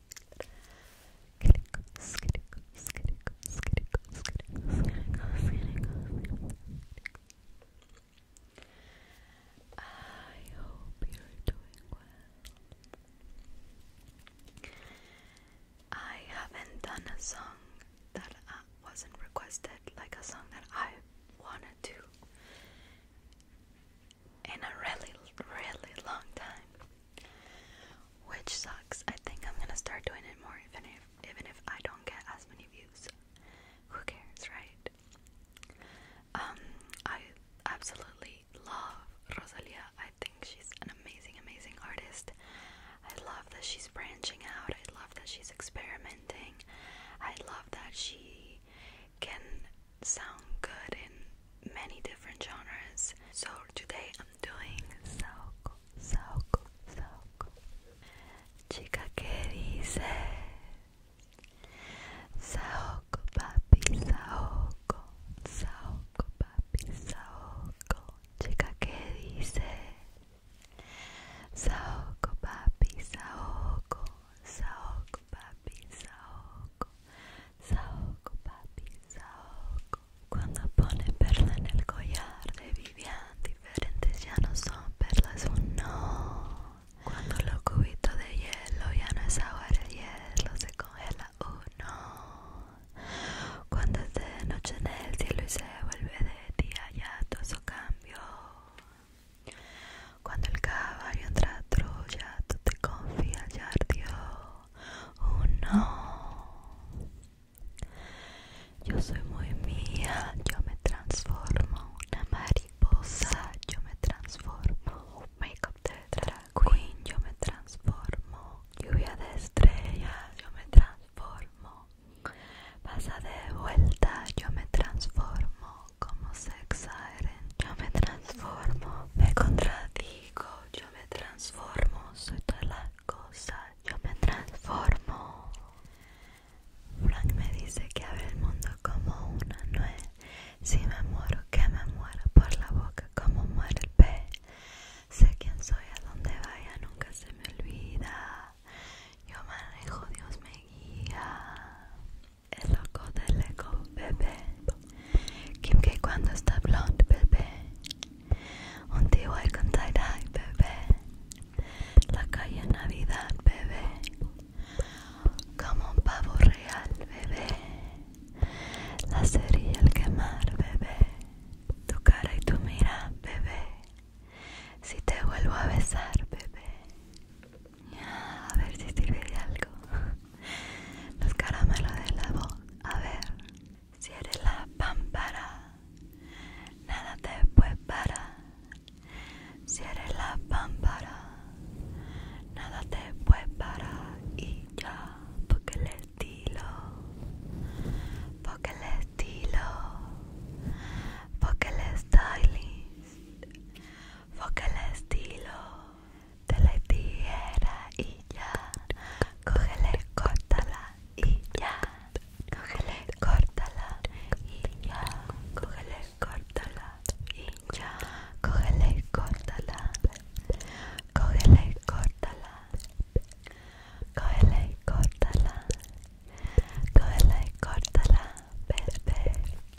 I hope you're doing well. I haven't done a song that uh, wasn't requested, like a song that I wanted to in a really, really long time. Which sucks. I think I'm gonna start doing it more, even if even if I don't get as many views. Who cares, right? Um, I absolutely love Rosalia. I think she's an amazing, amazing artist. I love that she's branching out. I love that she's experimenting. I love that she can sound good in many different genres. So today I'm doing Saoko, Saoko, Saoko. Chica que dice Saoko, papi, Saoko, Saoko, papi, Saoko. Chica que dice Saoko, papi, Saoko, Saoko. papi, saoco, saoco, papi, saoco. Cuando pone perla en el collar de Vivian, diferentes ya no son perlas, un no. Cuando lo cubito de hielo ya no es agua de hielo, se congela, un no. Cuando se de noche en el cielo y se vuelve de día, ya todo eso cambió. Cuando el caballo entra a Troya, tú te confías, ya ardió. Oh no. Yo soy muy mía, yo me transformo. Una mariposa, yo me transformo. Makeup de drag queen, yo me transformo. Lluvia de estrellas, yo me transformo. Pasa de vuelta, yo me transformo como se siren. Yo me transformo, me contradigo, yo me transformo, soy todas las cosas, yo me transformo. Frank me dice que abre el mundo como una nuez. Si me muero, que me muera por la boca como muere el pez. Sé quién soy, a donde vaya nunca se me olvida. Yo manejo, Dios me guía el loco del eco bebé. Kim que cuando está blonde, bebé. Un tío hay con tie bebé. La calle Navidad, bebé. Como un pavo real, bebé. La serie El Quemar, bebé. Tu cara y tu mira, bebé. Si te vuelvo a besar, bebé. A ver si sirve de algo. Los caramelos de la voz. A ver. Si eres la pámpara. Nada te puede parar. Si eres la pámpara. Nada te puede parar. Y ya. Porque el estilo. Porque el estilo. Porque el stylist. Porque el estilo te la tira y ya, cógele, córtala y ya, cógele, córtala y ya, cógele, córtala y ya, cógele, córtala, cógele, córtala, cógele, córtala, cógele, córtala, bebé.